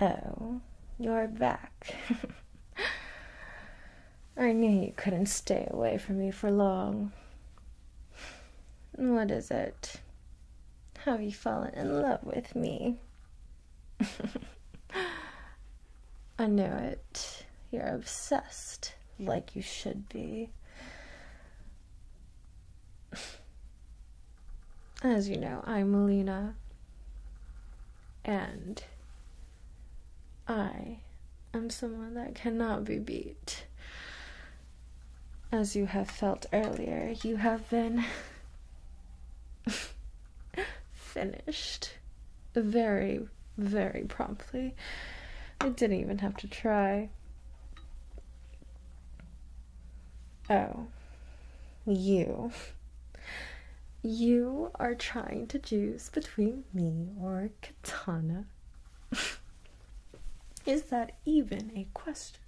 Oh, you're back. I knew you couldn't stay away from me for long. What is it? Have you fallen in love with me? I knew it. You're obsessed, like you should be. As you know, I'm Alina, and I am someone that cannot be beat. As you have felt earlier, you have been finished very, very promptly. I didn't even have to try. Oh, you. You are trying to choose between me or Katana. Is that even a question?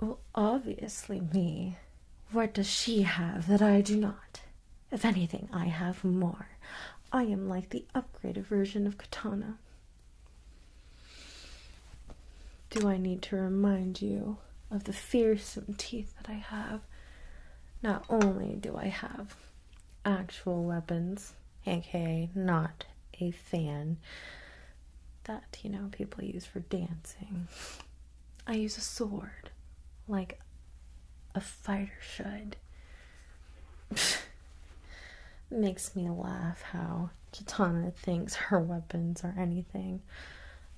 Well, obviously, me. What does she have that I do not? If anything, I have more. I am like the upgraded version of Katana. Do I need to remind you of the fearsome teeth that I have? Not only do I have actual weapons, aka not a fan that, you know, people use for dancing, I use a sword like a fighter should. Makes me laugh how Katana thinks her weapons are anything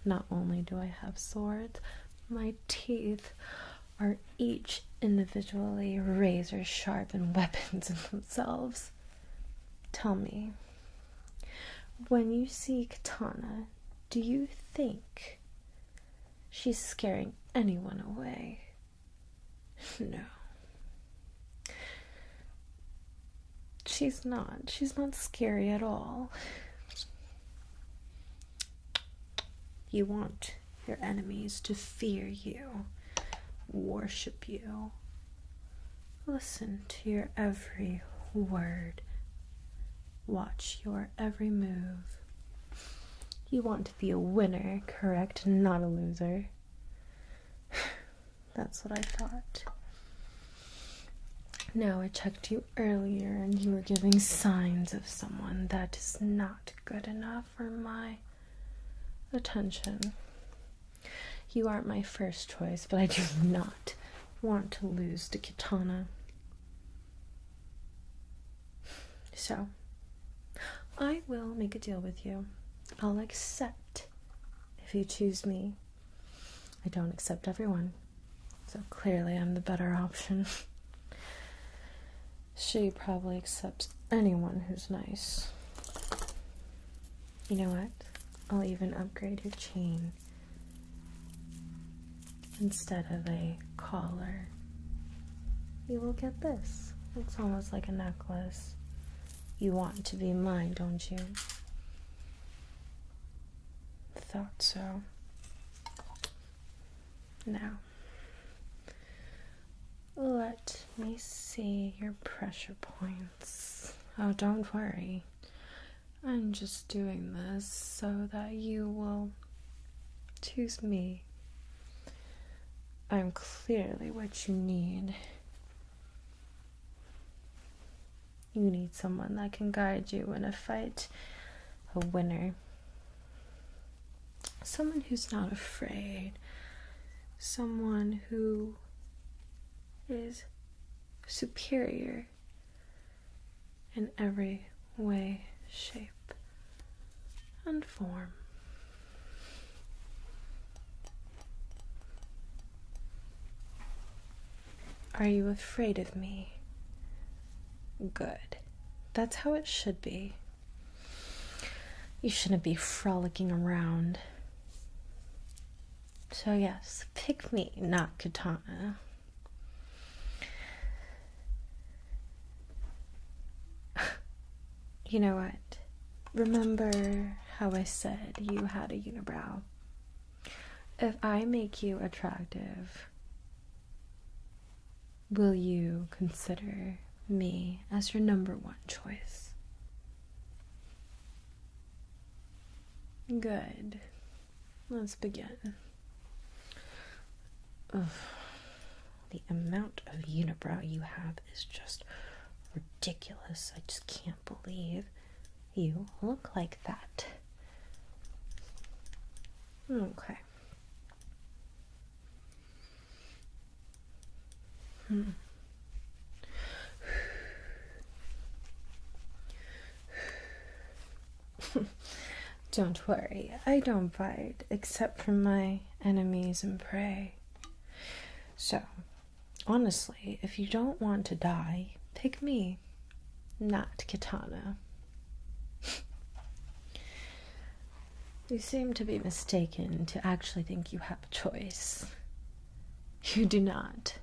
not only do I have swords, my teeth are each individually razor sharp and weapons in themselves. Tell me, when you see Katana, do you think she's scaring anyone away? No she's not. She's not scary at all. You want your enemies to fear you, worship you, listen to your every word, watch your every move. You want to be a winner, correct? Not a loser. That's what I thought. Now, I checked you earlier and you were giving signs of someone that is not good enough for my attention. You aren't my first choice, but I do not want to lose to Kitana. So, I will make a deal with you. I'll accept if you choose me I don't accept everyone, so clearly I'm the better option. she probably accepts anyone who's nice. You know what? I'll even upgrade your chain instead of a collar. You will get this. It's almost like a necklace. You want to be mine, don't you? Thought so. Now, let me see your pressure points. Oh, don't worry. I'm just doing this so that you will choose me. I'm clearly what you need. You need someone that can guide you in a fight, a winner. Someone who's not afraid. Someone who is superior in every way, shape, and form. Are you afraid of me? Good. That's how it should be. You shouldn't be frolicking around. So, yes, pick me, not Katana. you know what? Remember how I said you had a unibrow? If I make you attractive, will you consider me as your number one choice? Good. Let's begin. The amount of unibrow you have is just ridiculous. I just can't believe you look like that. Okay. Hmm. don't worry, I don't bite except for my enemies and prey. So, Honestly, if you don't want to die, pick me, not Katana. you seem to be mistaken to actually think you have a choice. You do not.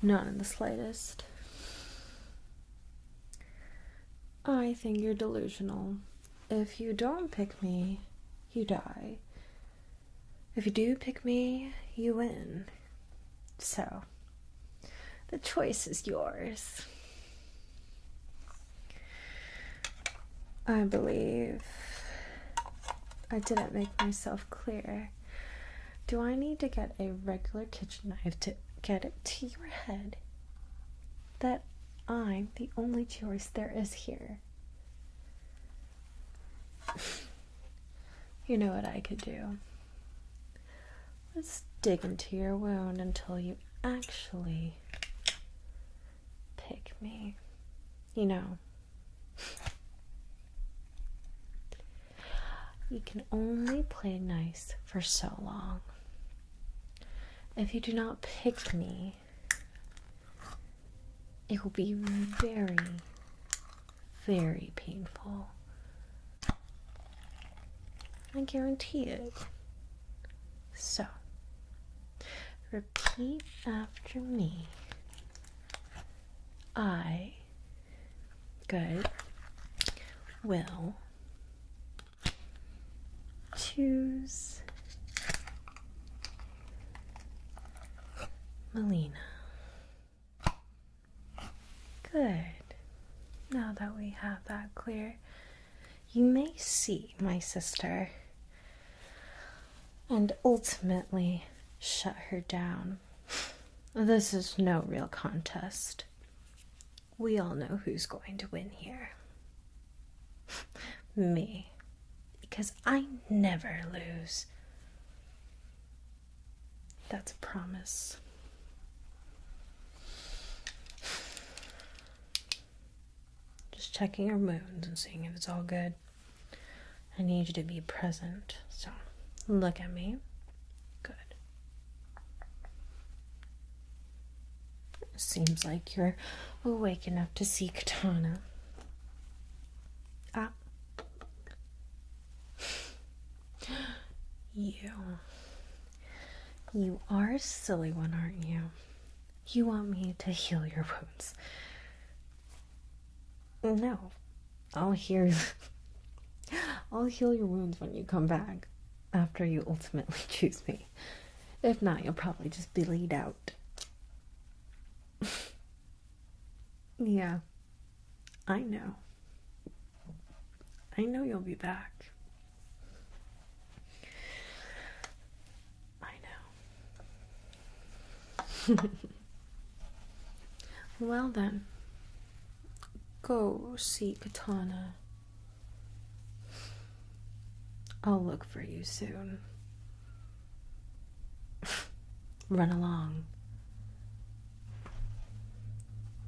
Not in the slightest. I think you're delusional. If you don't pick me, you die. If you do pick me, you win. So, the choice is yours. I believe I didn't make myself clear. Do I need to get a regular kitchen knife to get it to your head that I'm the only choice there is here? you know what I could do? Let's dig into your wound until you actually pick me. You know, you can only play nice for so long. If you do not pick me, it will be very very painful. I guarantee it. So, repeat after me. I, good, will choose Melina. Good. Now that we have that clear, you may see my sister and ultimately shut her down. This is no real contest. We all know who's going to win here. Me because I never lose. That's a promise. Just checking your moons and seeing if it's all good. I need you to be present. So look at me. Good. Seems like you're awake enough to see Katana. Up. Ah you. You are a silly one, aren't you? You want me to heal your wounds. No. I'll hear I'll heal your wounds when you come back after you ultimately choose me. If not, you'll probably just be laid out. Yeah, I know. I know you'll be back. I know. well, then, go see Katana. I'll look for you soon. Run along.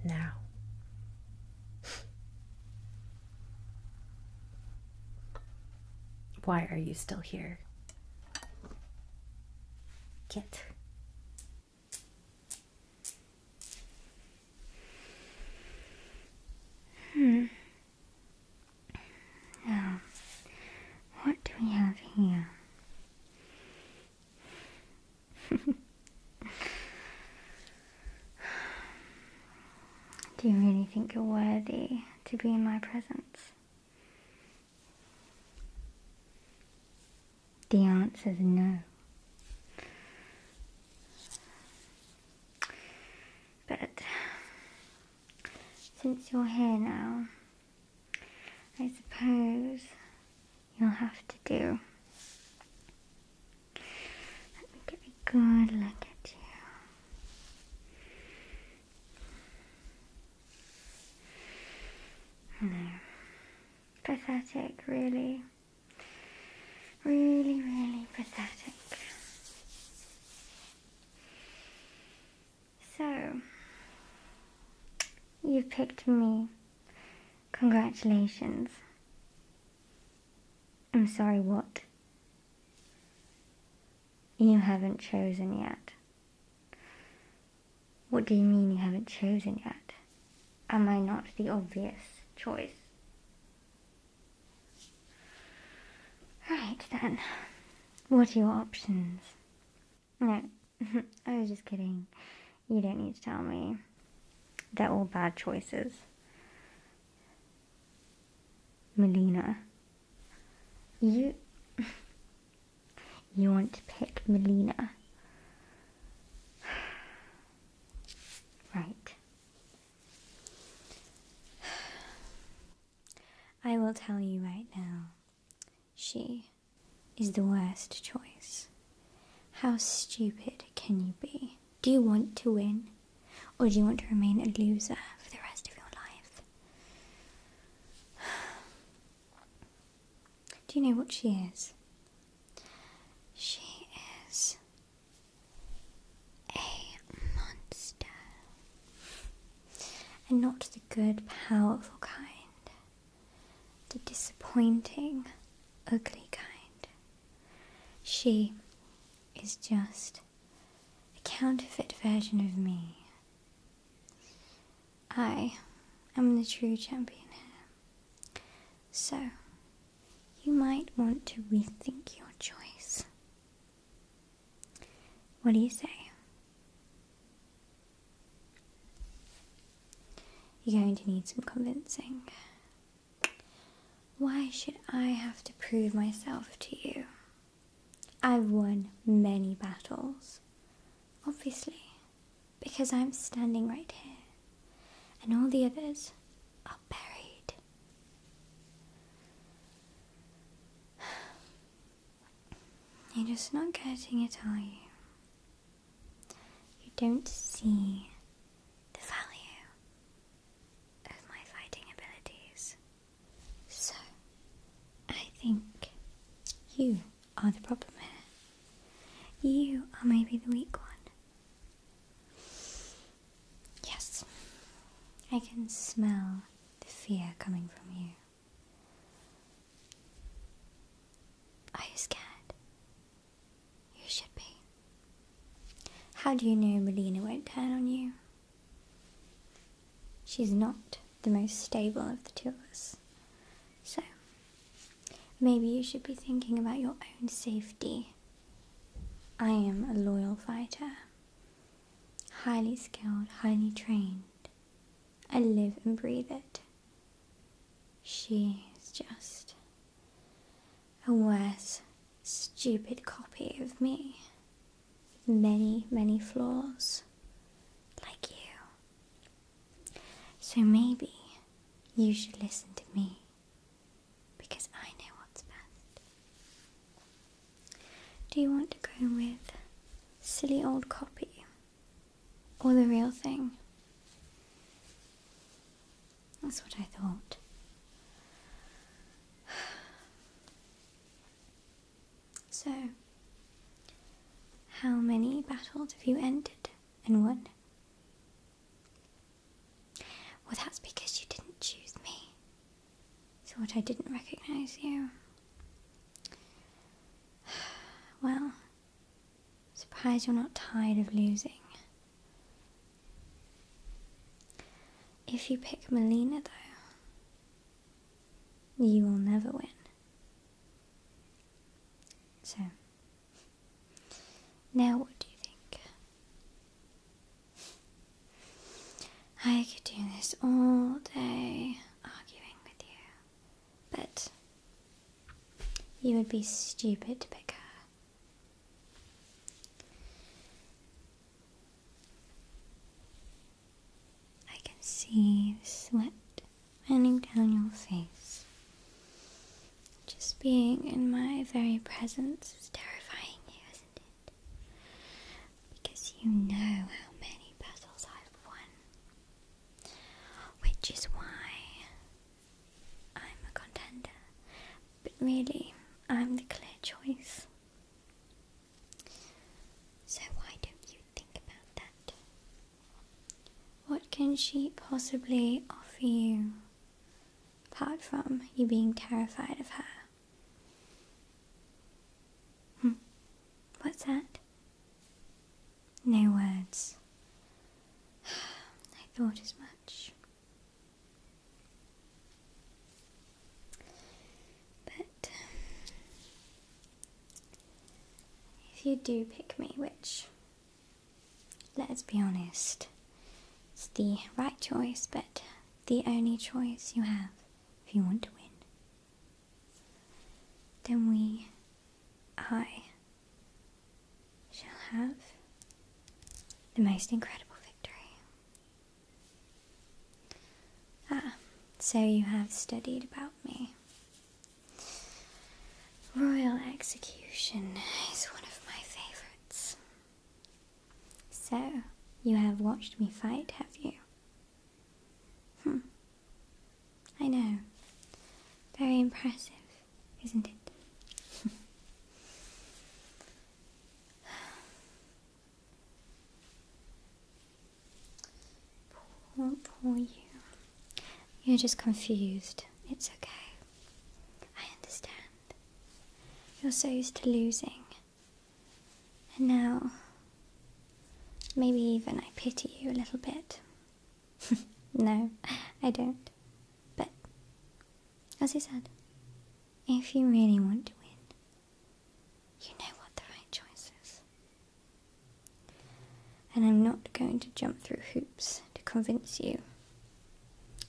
Now. Why are you still here? Get. Hmm. Now, what do we have here? Do you really think you're worthy to be in my presence? The answer is no. But since you're here now, I suppose you'll have to do. Let me get a good look at you. No. Pathetic, really. Really, really pathetic. So, you picked me. Congratulations. I'm sorry, what? You haven't chosen yet. What do you mean you haven't chosen yet? Am I not the obvious choice? Right then, what are your options? No, I was just kidding. You don't need to tell me. They're all bad choices. Melina. You. You want to pick Melina. Right. I will tell you right now. She is the worst choice. How stupid can you be? Do you want to win? Or do you want to remain a loser for the rest of your life? Do you know what she is? She is a monster. And not the good, powerful kind, the disappointing, ugly kind. She is just a counterfeit version of me. I am the true champion here. So, you might want to rethink your choice. What do you say? You're going to need some convincing. Why should I have to prove myself to you? I've won many battles. Obviously, because I'm standing right here, and all the others are buried. You're just not getting it, are you? You don't see the value of my fighting abilities. So, I think you are the problem here. You are maybe the weak one. Yes, I can smell the fear coming from you. Are you scared? You should be. How do you know Melina won't turn on you? She's not the most stable of the two of us. So, maybe you should be thinking about your own safety. I am a loyal fighter, highly skilled, highly trained. I live and breathe it. She's just a worse, stupid copy of me. Many, many flaws. Like you. So maybe you should listen to me. Because I know what's best. Do you want to go with silly old copy or the real thing? That's what I thought. So, how many battles have you ended and won? Well, that's because you didn't choose me. So, what I didn't recognize you. Well, surprised you're not tired of losing. If you pick Melina, though, you will never win. So, now what do you think? I could do this all day arguing with you, but you would be stupid to pick her. I can see sweat running down your face. Just being in my very presence is terrifying you, isn't it? because you know how many battles I've won, which is why I'm a contender, but really, I'm the clear choice. So, why don't you think about that? What can she possibly offer you apart from you being terrified of her? Hmm. What's that? No words. I thought as much. But um, if you do pick me, which, let's be honest, it's the right choice, but the only choice you have if you want to win then we, I, shall have the most incredible victory. Ah, so you have studied about me. Royal execution is one of my favourites. So, you have watched me fight, have you? Hmm. I know. Very impressive, isn't it? poor, poor you. You're just confused. It's okay. I understand. You're so used to losing and now, maybe even I pity you a little bit. no, I don't. But, as you said, if you really want to win, you know what the right choice is. And I'm not going to jump through hoops to convince you,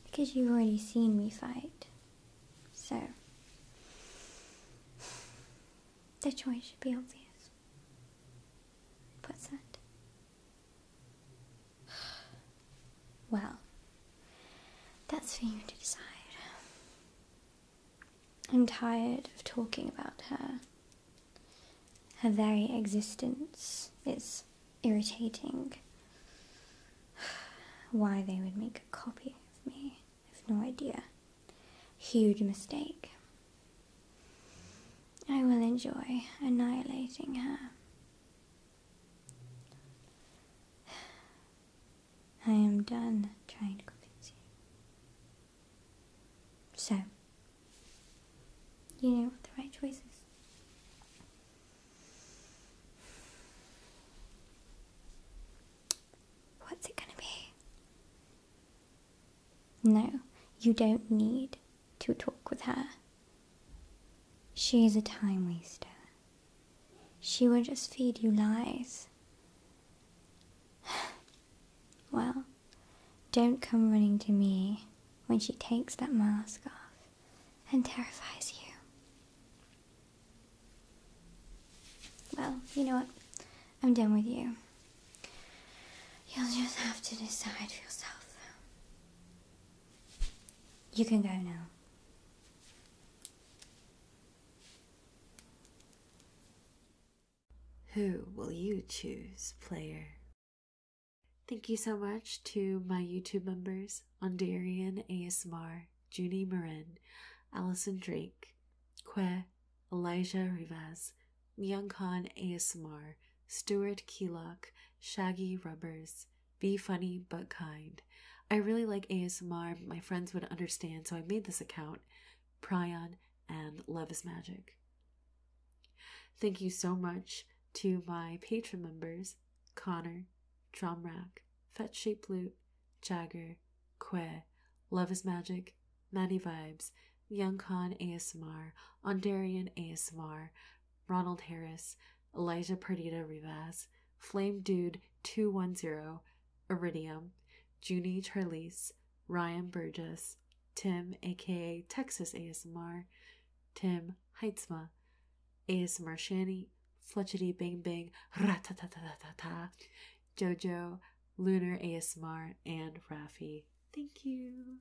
because you've already seen me fight. So, the choice should be obvious. What's that? Well, that's for you to decide. I'm tired of talking about her. Her very existence is irritating. Why they would make a copy of me. I have no idea. Huge mistake. I will enjoy annihilating her. I am done trying to convince you. So, you know what the right choice is. What's it going to be? No, you don't need to talk with her. She's a time waster. She will just feed you lies. well, don't come running to me when she takes that mask off and terrifies you. Well, you know what? I'm done with you. You'll just have to decide for yourself. You can go now. Who will you choose, player? Thank you so much to my YouTube members, Ondarian ASMR, Junie Marin, Allison Drake, Que, Elijah Rivas, Myung Khan ASMR, Stuart Keelock, Shaggy Rubbers, Be Funny But Kind. I really like ASMR, my friends would understand, so I made this account. Prion and Love is Magic. Thank you so much to my patron members Connor, Drumrack, Fetch Shape Loot, Jagger, Que, Love is Magic, Maddie Vibes, Young Khan ASMR, Ondarian ASMR, Ronald Harris, Elijah Perdita Rivas, Flame Dude 210, Iridium, Junie Charlize, Ryan Burgess, Tim aka Texas ASMR, Tim Heitzma, ASMR Shanny, Fletchety Bang Bang, Ratatatatata, Jojo, Lunar ASMR, and Rafi. Thank you.